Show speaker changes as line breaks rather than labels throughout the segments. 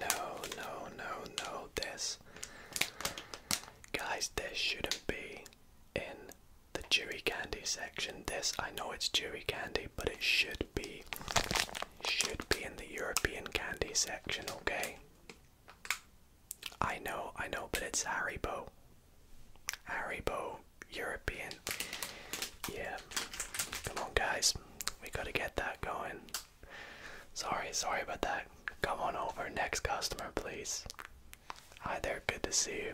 No, no, no, no, this. Guys, this shouldn't be in the dewy candy section. This, I know it's dewy candy, but it should be should be in the European candy section, okay? I know, I know, but it's Haribo. Haribo European. Yeah. Come on, guys. We gotta get that going. Sorry, sorry about that. Come on over, next customer, please. Hi there, good to see you.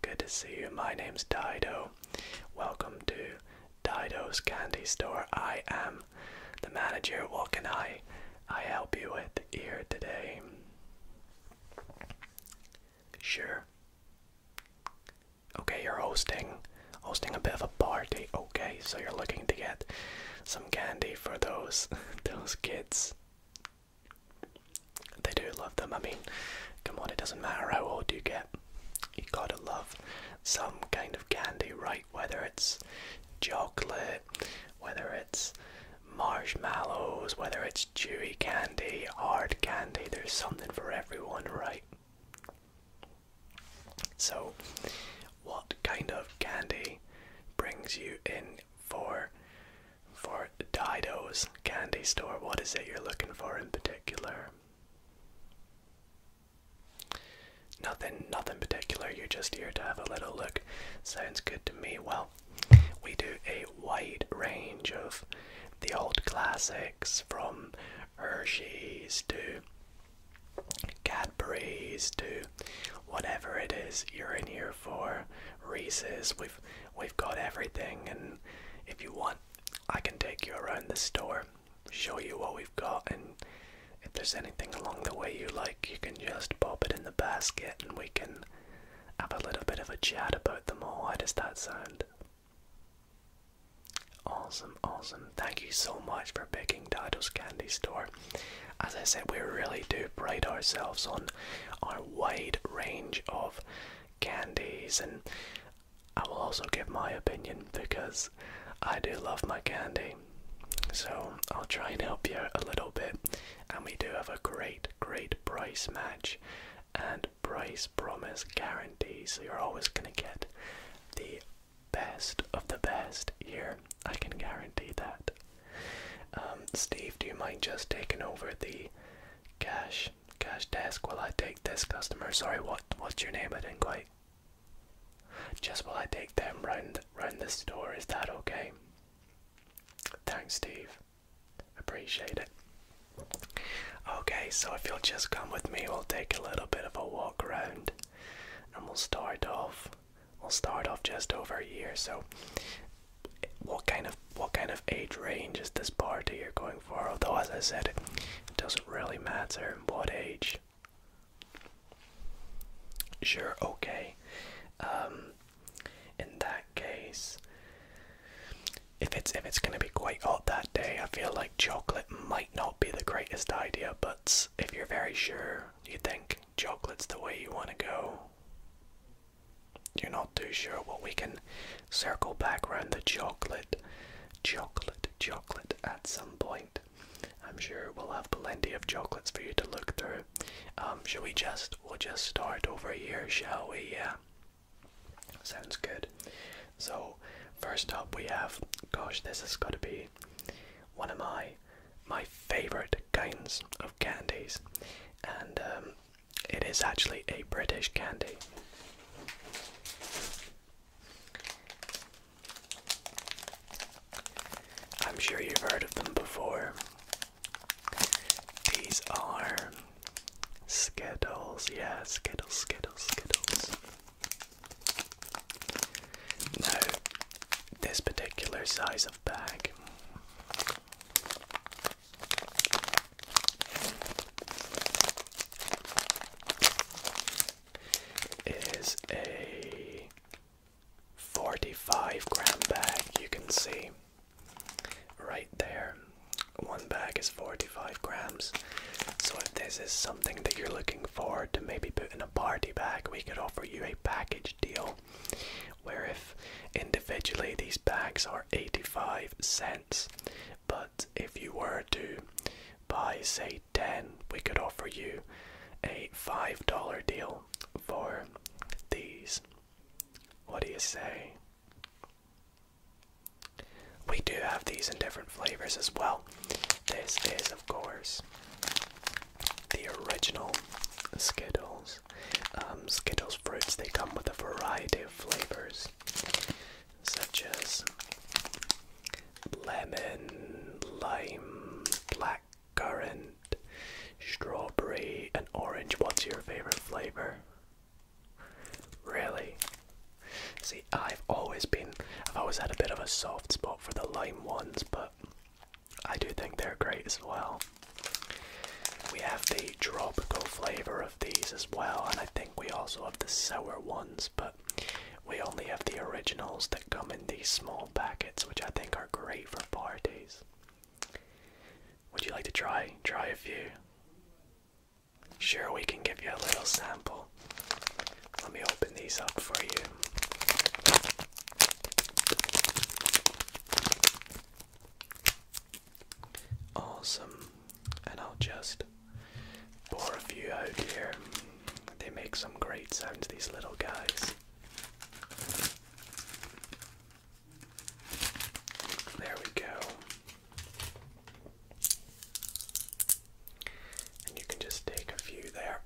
Good to see you. My name's Dido. Welcome to Dido's Candy Store. I am the manager. What can I I help you with here today? Sure. Okay, you're hosting hosting a bit of a party. Okay, so you're looking to get some candy for those those kids. They do love them. I mean, come on, it doesn't matter how old you get. You gotta love some kind of candy, right? Whether it's chocolate, whether it's marshmallows, whether it's chewy candy, hard candy, there's something for everyone, right? So, what kind of candy brings you in for for Dido's candy store? What is it you're looking for in particular? Nothing, nothing particular. You're just here to have a little look. Sounds good to me. Well, we do a wide range of the old classics from Hershey's to Cadbury's to whatever it is you're in here for. Reese's, we've we've got everything, and if you want, I can take you around the store, show you what we've got, and if there's anything along the way you like, you can just pop it in the basket, and we can have a little bit of a chat about them all. How does that sound? Awesome, awesome. Thank you so much for picking Dado's Candy Store. As I said, we really do pride ourselves on our wide range of candies, and I will also give my opinion because I do love my candy. So I'll try and help you a little bit. And we do have a great, great price match. And price promise guarantee, so you're always going to get the best of the best here. I can guarantee that. Um, Steve, do you mind just taking over the cash cash desk while I take this customer? Sorry, what what's your name? I didn't quite. Just while I take them round round the store, is that okay? Thanks, Steve. Appreciate it. Okay, so if you'll just come with me, we'll take a little bit of a walk around and we'll start off we'll start off just over here. So what kind of what kind of age range is this party you're going for? Although as I said it doesn't really matter what age. Sure, okay. Um in that case if it's if it's gonna be quite hot that day, I feel like chocolate might not be the greatest idea, but if you're very sure you think chocolate's the way you want to go, you're not too sure. Well, we can circle back around the chocolate, chocolate, chocolate at some point. I'm sure we'll have plenty of chocolates for you to look through. Um, shall we just, we'll just start over here, shall we? Yeah. Sounds good. So first up we have gosh this has gotta be one of my my favorite kinds of candies and um, it is actually a British candy. I'm sure you've heard of them before. These are Skittles, yeah, Skittles, Skittles, Skittles. Now, this particular size of bag is a 45 gram bag, you can see right there. One bag is forty. 45 grams. So, if this is something that you're looking for to maybe put in a party bag, we could offer you a package deal where if individually these bags are 85 cents, but if you were to buy, say, 10, we could offer you a $5 deal for these. What do you say? We do have these in different flavors as well. This is, of course, the original Skittles. Um, Skittles fruits, they come with a variety of flavors, such as lemon, lime, blackcurrant, strawberry, and orange. What's your favorite flavor? Really? See, I've always been, I've always had a bit of a soft spot for the lime ones, but I do think they're great as well. We have the tropical flavour of these as well, and I think we also have the sour ones, but we only have the originals that come in these small packets, which I think are great for parties. Would you like to try? Try a few. Sure, we can give you a little sample. Let me open these up for you. Awesome. And I'll just pour a few out here. They make some great sounds, these little guys. There we go. And you can just take a few there.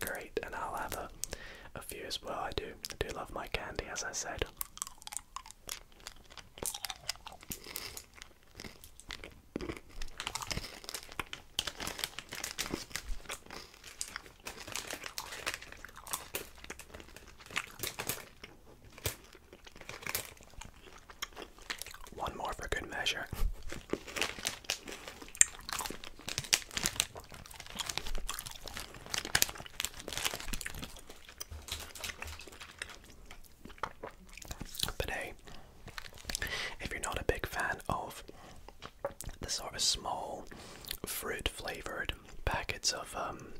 Great, and I'll have a, few as well. I do, I do love my candy, as I said. One more for good measure. But hey, if you're not a big fan of the sort of small fruit flavored packets of um,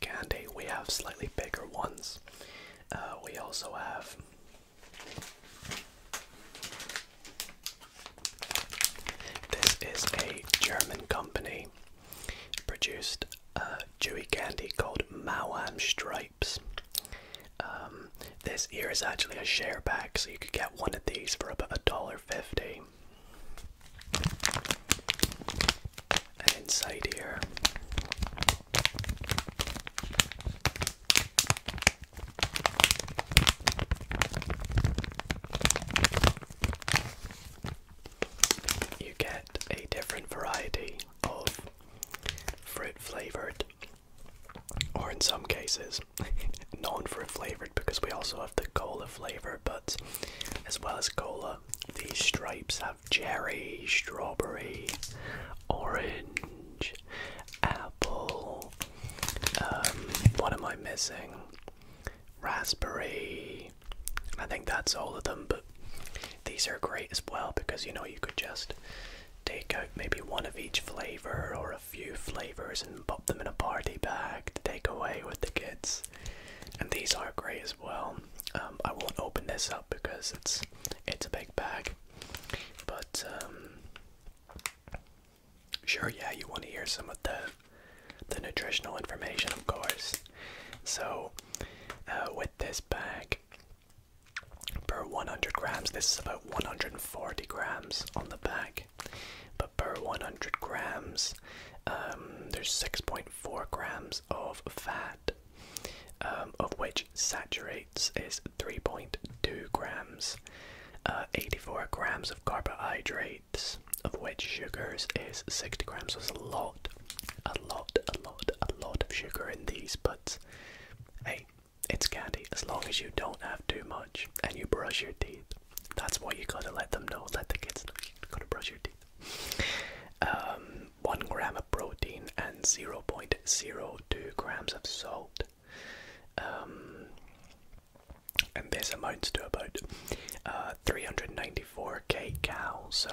candy, we have slightly bigger ones uh, we also have this is a German company produced a uh, chewy candy called Mauam Stripes. Um, this here is actually a share pack, so you could get one of these for about a dollar fifty and inside here you get a different variety of fruit flavored, or in some cases, non fruit flavored because we also have the cola flavor, but as well as cola, these stripes have cherry, strawberry, orange, apple. Um, what am I missing? Raspberry. I think that's all of them, but these are great as well because you know you could just take out maybe one of each flavor or a few flavors and pop them in a party bag to take away with the kids. And these are great as well. Um, I won't open this up because it's it's a big bag. But um, sure, yeah, you want to hear some of the the nutritional information, of course. So uh, with this bag per 100 grams, this is about 140 grams on the bag. But per 100 grams, um, there's 6.4 grams of fat. Um, of which saturates is 3.2 grams, uh, 84 grams of carbohydrates, of which sugars is 60 grams. So it's a lot, a lot, a lot, a lot of sugar in these, but hey, it's candy as long as you don't have too much and you brush your teeth. That's why you gotta let them know, let the kids know you gotta brush your teeth. Um, 1 gram of protein and 0.02 grams of salt. Um, and this amounts to about uh, 394 kcal. So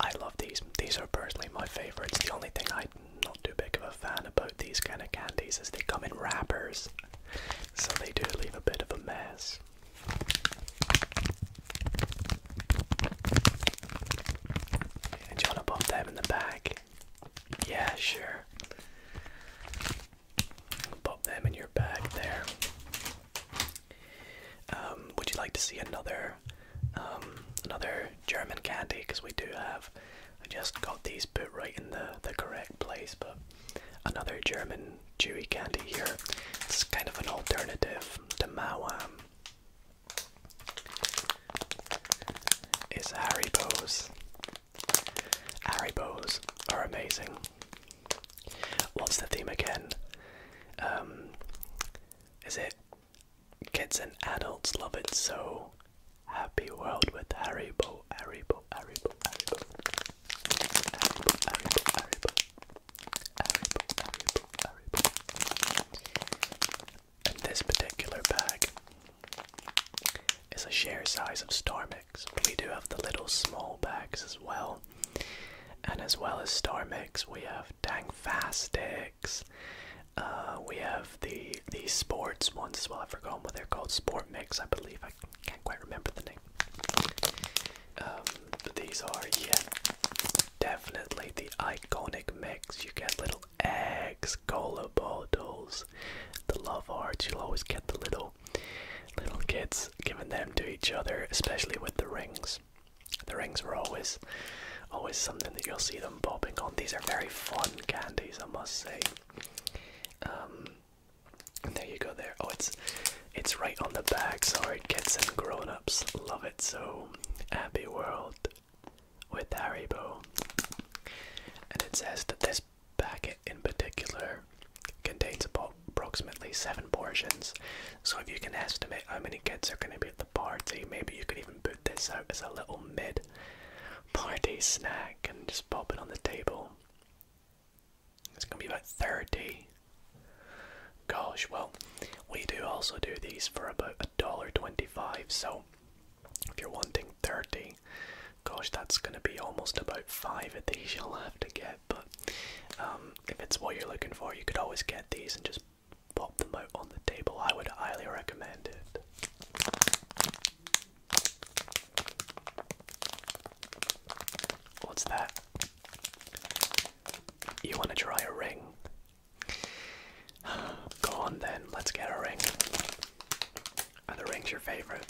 I love these. These are personally my favorites. The only thing I'm not too big of a fan about these kind of candies is they come in wrappers, so they do leave a bit of a mess. Do you want to bump that in the back? Yeah, sure. Pop them in your bag there. Um, would you like to see another, um, another German candy? Because we do have. I just got these put right in the the correct place, but another German chewy candy here. It's kind of an alternative to Mawam is Haribo's. Haribo's are amazing. What's the theme again? Um, is it kids and adults love it so? Happy world with Haribo, Haribo, Haribo, Haribo. Haribo, Haribo, Haribo. Haribo, Haribo, Haribo. And this particular bag is a share size of Stormix. we do have the little small bags as well. And as well as Stormix, we have Tang Fastics. Uh, we have the the sports ones as well. I've forgotten what they're called. Sport Mix, I believe. I can't quite remember the name. Um, these are, yeah, definitely the iconic mix. You get little eggs, cola bottles, the love hearts. You'll always get the little little kids giving them to each other, especially with the rings. The rings were always always something that you'll see them bobbing on. These are very fun candies, I must say. Um, there you go there. Oh, it's it's right on the back. Sorry, kids and grown-ups love it so. Happy World with Haribo. And it says that this packet in particular contains approximately seven portions. So if you can estimate how many kids are going to be at the party, maybe you could even put this out as a little mid party snack and just pop it on the table. It's going to be about 30. Gosh, well, we do also do these for about a dollar twenty-five. So if you're wanting thirty, gosh, that's going to be almost about five of these you'll have to get. But um, if it's what you're looking for, you could always get these and just pop them out on the table. I would highly recommend it. What's that? You want to try a ring? Go on then, let's get a ring. Are the rings your favorite?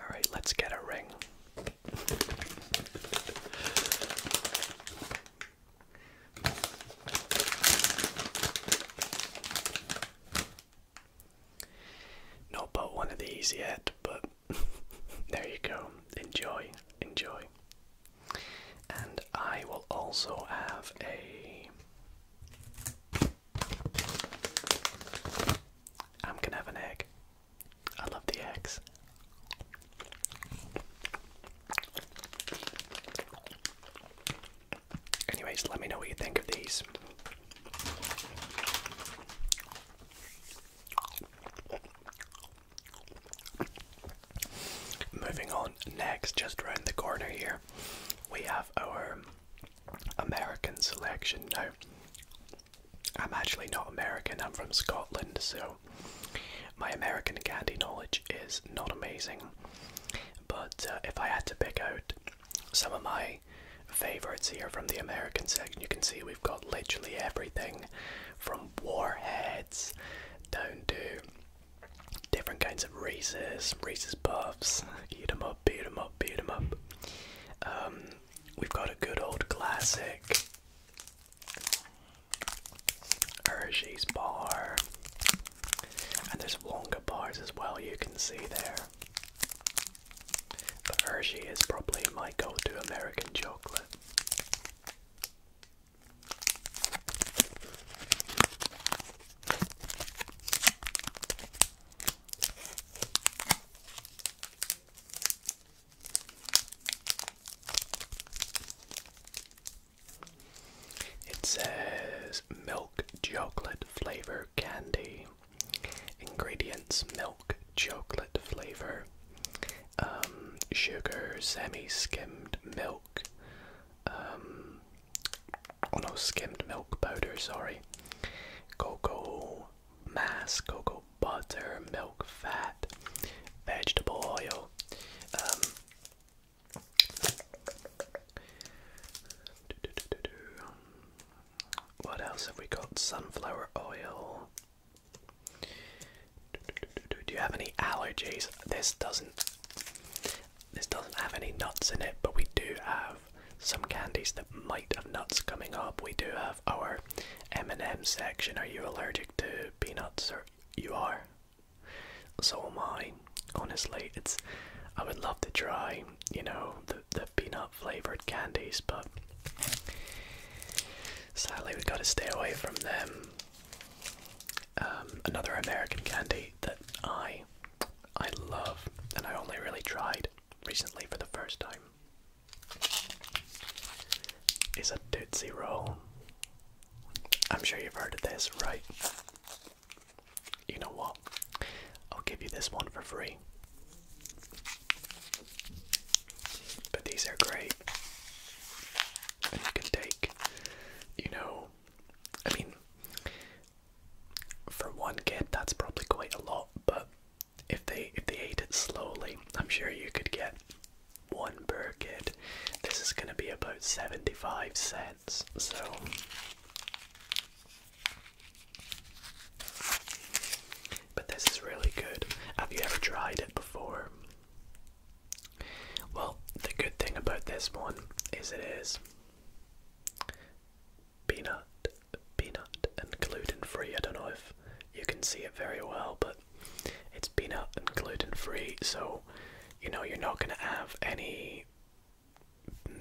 Alright, let's get a ring. Not bought one of these yet, but there you go. Enjoy, enjoy. And I will also have a. I'm gonna have an egg. I love the eggs. Anyways, let me know what you think of these. Moving on, next, just round the corner here, we have our American selection. Now, I'm actually not American, I'm from Scotland, so my American candy knowledge is not amazing. But uh, if I had to pick out some of my favorites here from the American section. You can see we've got literally everything from warheads down to different kinds of Reese's, Reese's Puffs, eat 'em up, beat 'em up, beat 'em up. Um, we've got a good old classic Hershey's bar, and there's Wonka bars as well. You can see there. But Hershey is probably my go to American chocolate. It says milk chocolate flavor candy. Ingredients milk, chocolate flavor, um, sugar, semi skimmed milk, um, oh no, skimmed milk powder, sorry, cocoa mass, cocoa butter, milk fat, vegetable oil. Um, what else have we got? Sunflower oil. Do you have any allergies? This doesn't. This doesn't have any nuts in it, but we do have some candies that might have nuts coming up. We do have our M&M section. Are you allergic to peanuts? Or you are? So am I. Honestly, it's. I would love to try. You know the, peanut flavored candies, but sadly we've got to stay away from them. Um, another American candy that I I love and I only really tried recently for the first time is a Tootsie Roll. I'm sure you've heard of this, right? You know what? I'll give you this one for free. But these are great. And you can take, you know, I mean, for one kid that's probably quite a lot, but if they if they ate it slowly, I'm sure you could get one per kid. This is gonna be about 75 cents, so but this is really good. Have you ever tried it before? Well, the good thing about this one is it is peanut, peanut, and gluten free. I don't know if you can see it very well, but it's peanut and gluten free, so you know you're not going to have any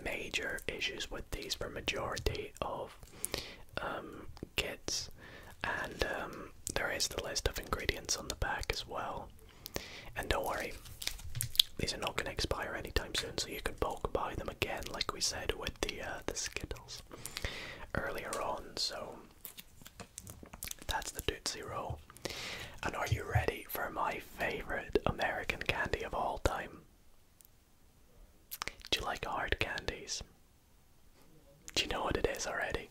major issues with minorities, for majority of um, kids, and um, there is the list of ingredients on the back as well. And don't worry, these are not going to expire anytime soon, so you can bulk buy them again, like we said with the uh, the Skittles earlier on. So that's the Tootsie Roll. And are you ready for my favorite American candy of all time? Do you like hard candies? Do you know what it is already?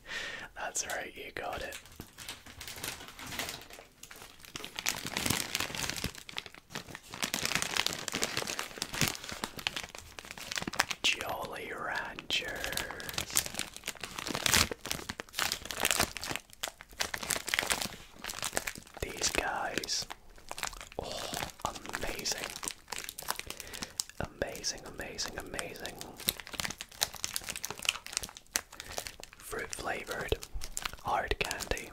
That's right, you got it. Jolly Ranchers. These guys. Oh, amazing. Amazing, amazing, amazing. Fruit flavored hard candy.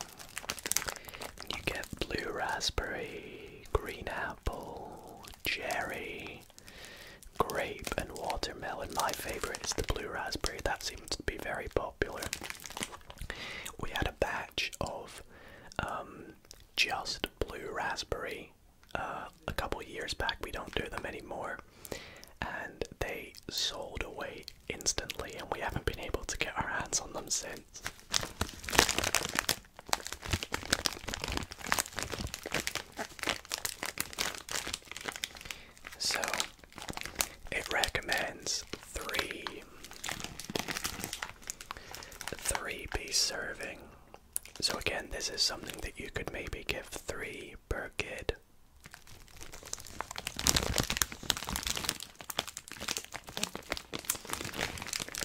You get blue raspberry, green apple, cherry, grape, and watermelon. My favorite is the blue raspberry, that seems to be very popular. We had a batch of um, just Blue Raspberry uh, a couple years back. We don't do them anymore. And they sold away instantly, and we haven't been able to get our hands on them since. So it recommends three three piece serving so again, this is something that you could maybe give three per kid.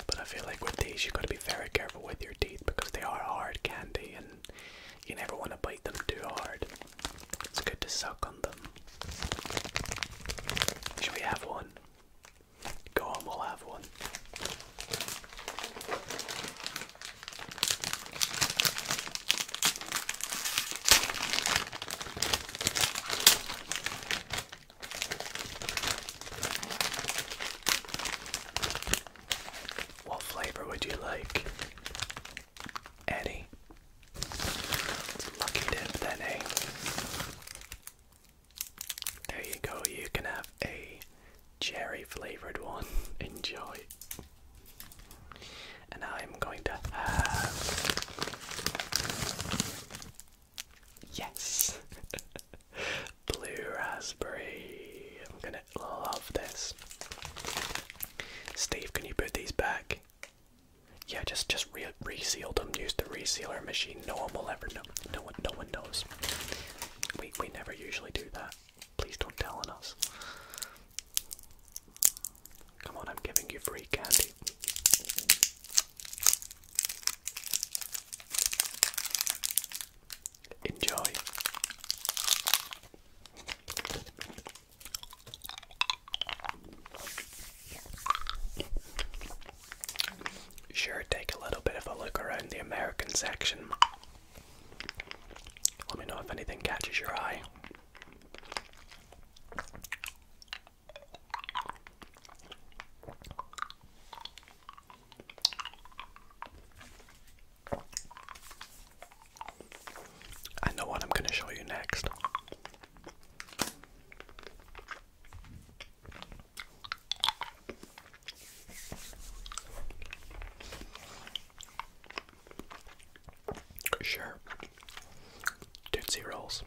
But I feel like with these, you've got to be very careful with your teeth because they are hard candy and you never want to bite them too hard. It's good to suck on them. Should we have one? Go on, we'll have one. What flavor would you like? Any? lucky dip then, eh? There you go, you can have a cherry flavored one. Enjoy. And I'm going to have. Yes! Blue raspberry. I'm gonna love this. Steve, can you put these back? Yeah, just just re reseal them. Use the resealer machine. No one will ever know. No one, no one knows. We we never usually do that. Please don't tell on us. Come on, I'm giving you free candy. Enjoy. Sure, take a little bit of a look around the American section. Let me know if anything catches your eye. I know what I'm going to show you next. Sure. Tootsie Rolls.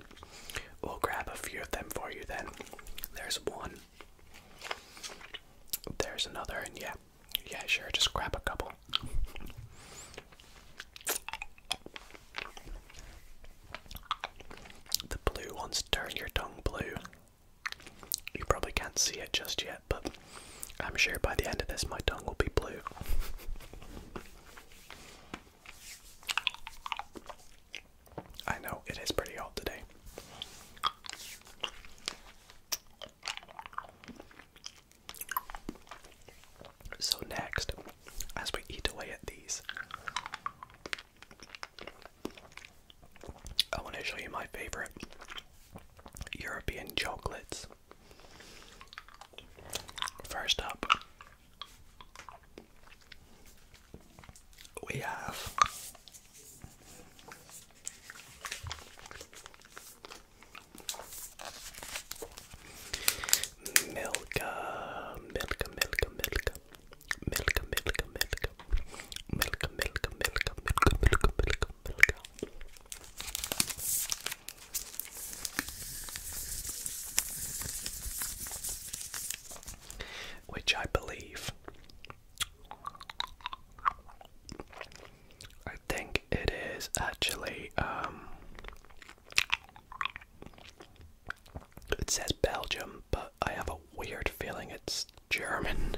We'll grab a few of them for you then. There's one. There's another, and yeah. Yeah, sure, just grab a couple. The blue ones turn your tongue blue. You probably can't see it just yet, but I'm sure by the end of this my tongue will be blue. I know it is pretty hot today. So, next, as we eat away at these, I want to show you my favorite European chocolates. First up, we have Milka, Milka, Milka, Milka. Milk, milk, milk, milk, milk, milk, milk, milk, milk, milk. Which I believe, I think it is actually, um, it says Belgium, but I have a weird feeling it's German.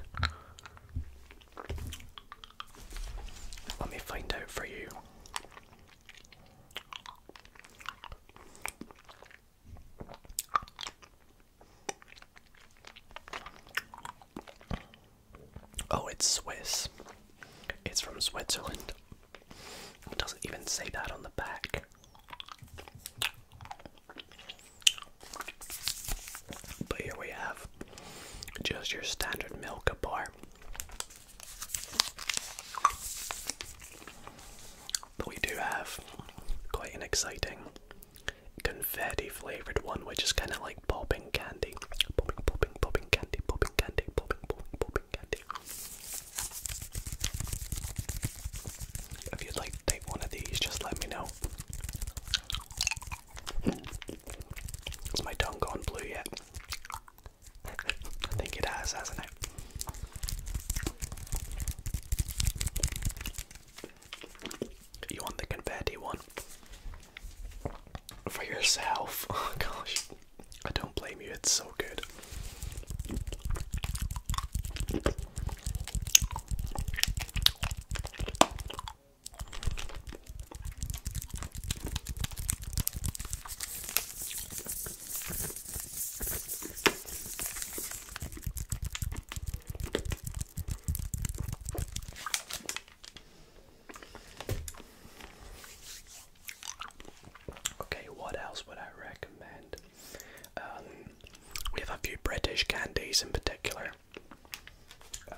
Let me find out for you. Oh, it's Swiss. It's from Switzerland. It doesn't even say that on the back. But here we have just your standard Milka bar. But we do have quite an exciting confetti flavored one, which is kind of like popping candy. Popping, popping, popping candy, popping candy, popping, popping, popping candy. If you'd like to take one of these, just let me know. Has my tongue gone blue yet? I think it has, hasn't it? You want the confetti one? For yourself. Oh gosh. I don't blame you, it's so good. Okay, what else would I recommend? Um, we have a few British candies in particular. Um,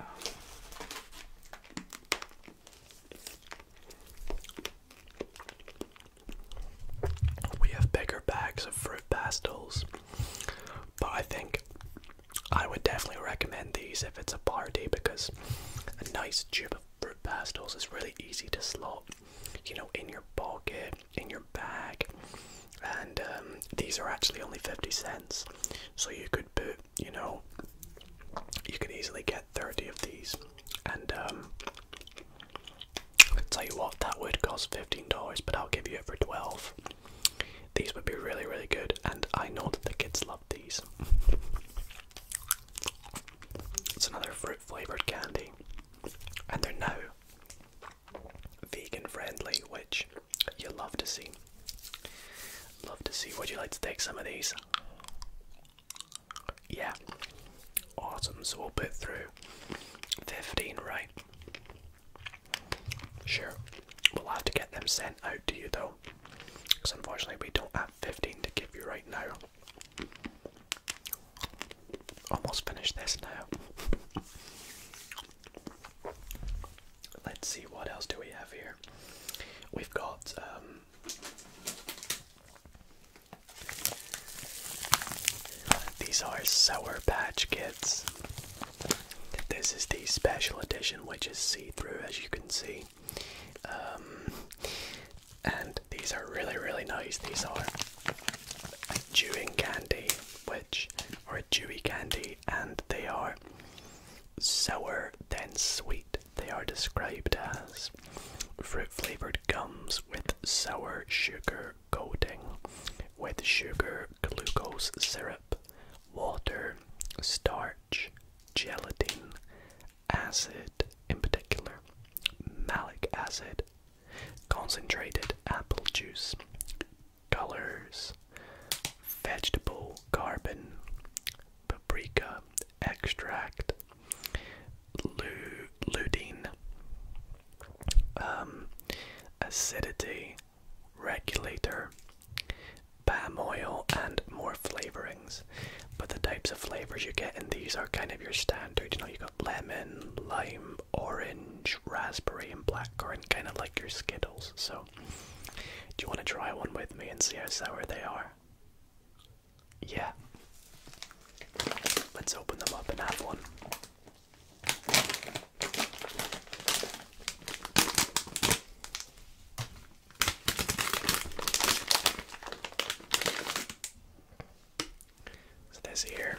we have bigger bags of fruit pastels, but I think I would definitely recommend these if it's a party because a nice tube of fruit pastels is really easy to slot, you know, in your pocket in your bag. And um, these are actually only 50 cents. So you could put, you know, you could easily get 30 of these. And um, I tell you what, that would cost $15, but I'll give you it for 12 These would be really, really good. And I know that the kids love these. It's another fruit flavored candy, and they're now vegan friendly, which you love to see. Love to see. Would you like to take some of these? Yeah. Awesome. So we'll put through 15, right? Sure. We'll have to get them sent out to you though. Because unfortunately, we don't have 15 to give you right now. Almost finished this now. Let's see what else do we have here. We've got um, these are Sour Patch Kids. This is the special edition, which is see-through, as you can see. Um, and these are really, really nice. These are chewing candy, which or a dewy candy, and they are sour then sweet. They are described as fruit flavored gums with sour sugar coating, with sugar, glucose syrup, water, starch, gelatin, acid, in particular, malic acid, concentrated apple juice, colors, vegetable carbon, paprika extract, lutein, um, acidity regulator, palm oil, and more flavorings. But the types of flavors you get in these are kind of your standard. You know, you got lemon, lime, orange, raspberry, and blackcurrant, kind of like your Skittles. So, do you want to try one with me and see how sour they are? Yeah. Let's open them up and have one. So, this here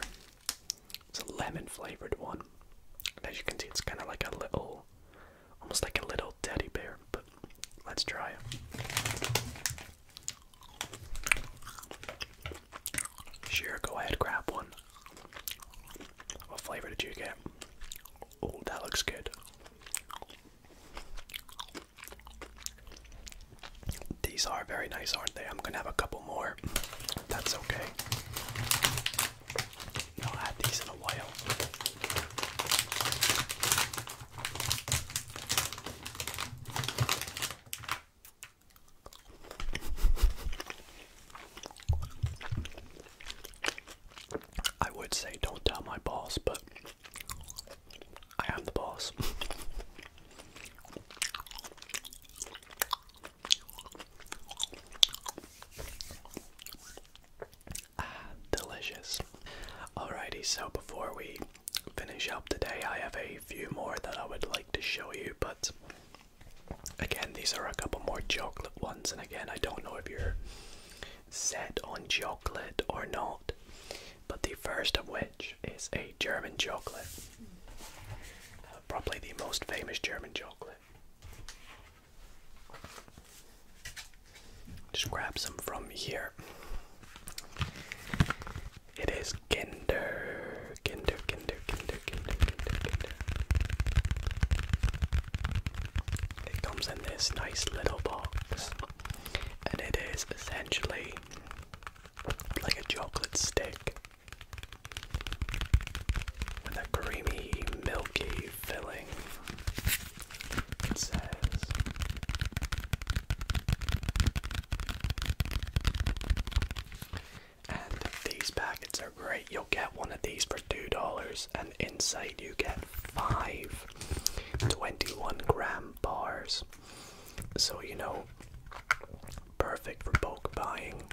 it's a lemon flavored one. And as you can see, it's kind of like a little, almost like a little teddy bear. But let's try it. Sure, go ahead, grab one. What flavor did you get? Oh, that looks good. These are very nice, aren't they? I'm gonna have a couple more. That's okay. Not had these in a while. I would say don't tell my boss, but I am the boss. Ah, delicious. Alrighty, so before we finish up today, I have a few more that I would like to show you, but again, these are a couple more chocolate ones, and again, I don't know if you're set on chocolate or not, but the first of which is a German chocolate. Uh, probably the most famous German chocolate it. Just grab some from here. It is Kinder, Kinder, Kinder, Kinder, Kinder, Kinder, Kinder. It comes in this nice little box, and it is essentially like a chocolate stick with a creamy, milky filling. And these packets are great. You'll get one of these for $2, and inside you get five 21 gram bars. So, you know, perfect for bulk buying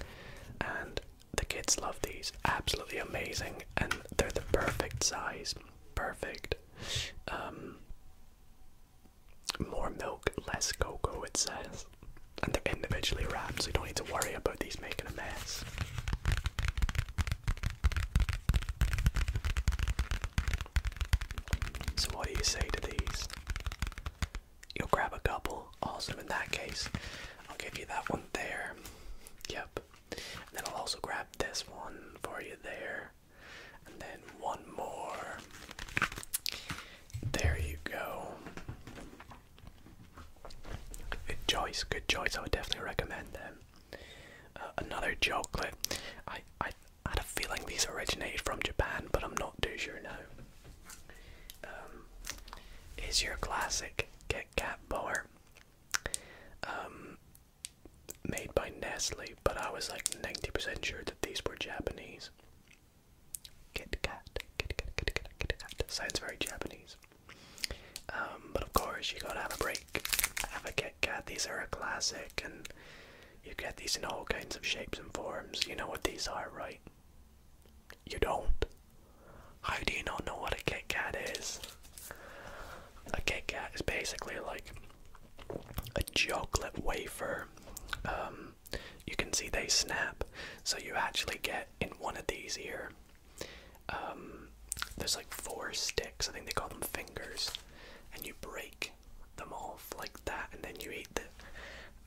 and the kids love these, absolutely amazing, and they're the perfect size. Perfect. Um, more milk, less cocoa, it says. And they're individually wrapped, so you don't need to worry about these making a mess. So, what do you say to these? You'll grab a couple. Also, In that case, I'll give you that one there. Yep. And then I'll also grab this one for you there. And then one more. There you go. Good choice, good choice. I would definitely recommend them. Uh, another chocolate. I, I had a feeling these originated from Japan, but I'm not too sure now. Um, is your classic Kit Kat bar um, made by Nestle, but I was like 90% sure that these were Japanese. Kit Kat, Kit Kat, Kit Kat, Kit Kat. Sounds very Japanese. Um, but of course, you gotta have a break. Have a Kit Kat. These are a classic, and you get these in all kinds of shapes and forms. You know what these are, right? You don't? How do you not know what a Kit Kat is? A Kit Kat is basically like a chocolate wafer. Um, you can see they snap, so you actually get in one of these here. Um, there's like four sticks, I think they call them fingers, and you break them off like that, and then you eat the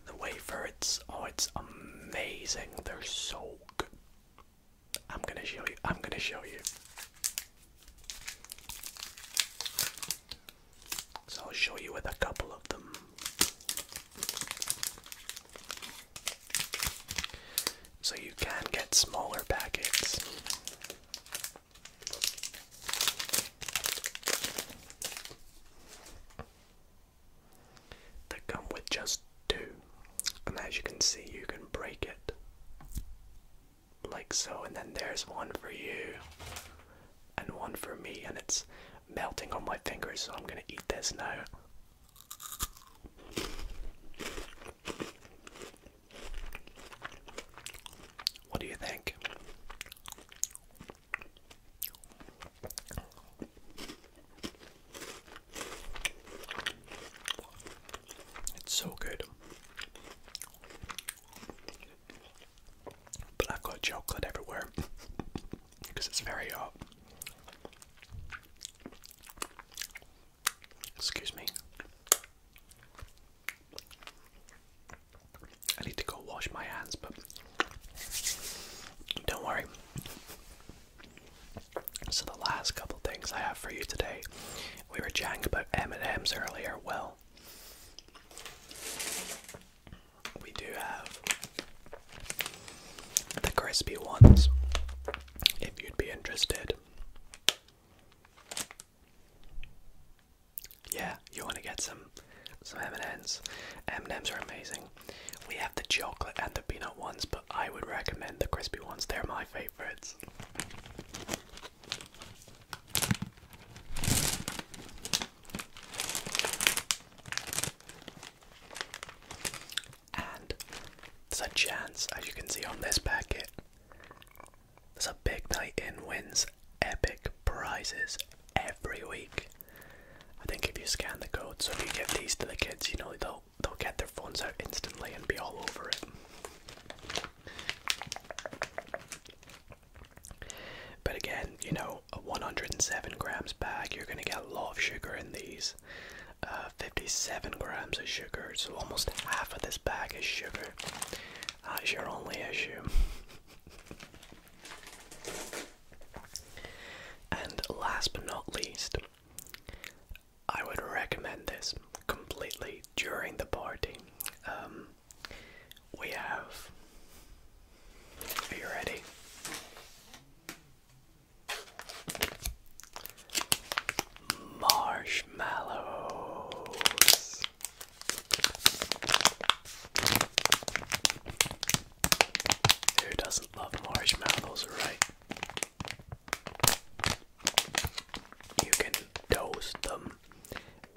the wafer. It's oh, it's amazing. They're so good. I'm gonna show you. I'm gonna show you. So I'll show you with a couple of them. So you can get smaller packets that come with just two. And as you can see, you can break it like so. And then there's one for you and one for me. And it's melting on my fingers, so I'm going to eat this now. What do you think? It's so good. But i got chocolate everywhere because it's very hot. Excuse me. I need to go wash my hands, but don't worry. So the last couple things I have for you today, we were chatting about M and M's earlier. Will. we do have the crispy ones. If you'd be interested, yeah, you want to get some some M and M's. M and M's are amazing. We have the chocolate and the peanut ones, but. I would recommend the crispy ones. They're my favorites. And there's a chance, as you can see on this packet, there's a big night in wins epic prizes every week. I think if you scan the code, so if you give these to the kids, you know they'll they'll get their phones out instantly and be all over it. But again, you know, a 107 grams bag, you're gonna get a lot of sugar in these. Uh, 57 grams of sugar, so almost half of this bag is sugar. That's your only issue. and last but not least, I would recommend this completely during the party. Um, we have. Are you ready? Marshmallows. Who doesn't love marshmallows, right? You can toast them,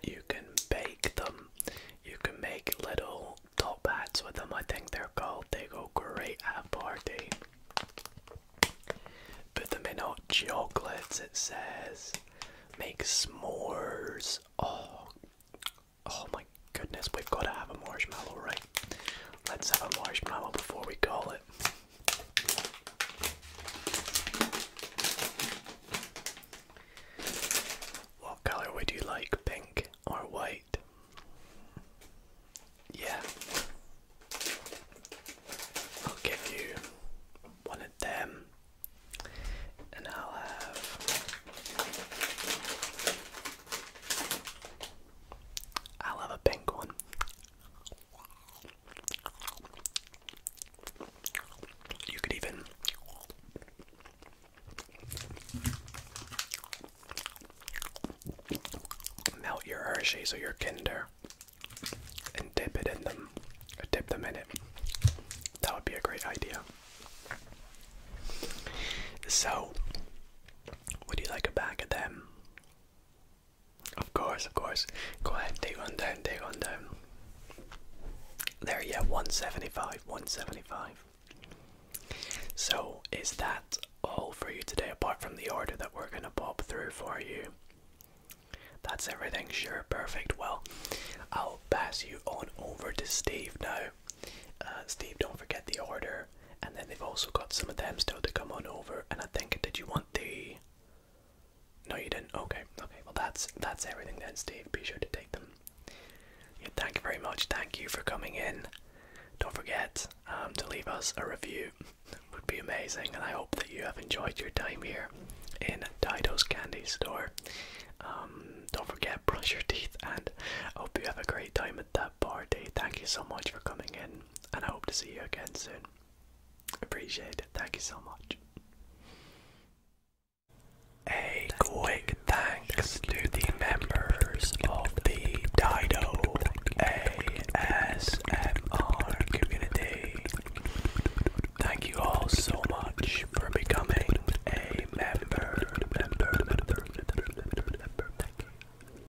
you can bake them, you can make little top hats with them, I think they're called. They go great at party. Put them in hot chocolates, it says. Make s'mores. Oh, oh my goodness, we've got to have a marshmallow, right? let's have a marshmallow before we call it. What color would you like, pink or white? Yeah. I'll give you one of them, and I'll have I'll have a pink one. You could even melt your Hershey's or your Kinder and dip it in them, dip them in it. That would be a great idea. So, would you like a bag of them? Of course, of course. Go ahead, take one down, take one down. There, yeah, 175, 175. So, is that all for you today, apart from the order that we're gonna pop through for you? That's everything, sure, perfect. Well, I'll pass you on over to Steve now. Uh, Steve, don't forget the order and then they've also got some of them still to come on over. And I think, did you want the? No, you didn't. Okay, okay. Well, that's that's everything then, Steve. Be sure to take them. thank you very much. Thank you for coming in. Don't forget um, to leave us a review. would be amazing, and I hope that you have enjoyed your time here in Dido's Candy Store. Um, don't forget brush your teeth, and hope you have a great time at that party. Thank you so much for coming in and I hope to see you again soon. Appreciate it. Thank you so much. A quick thanks to the members of the Dido ASMR community. Thank you all so much for becoming a member.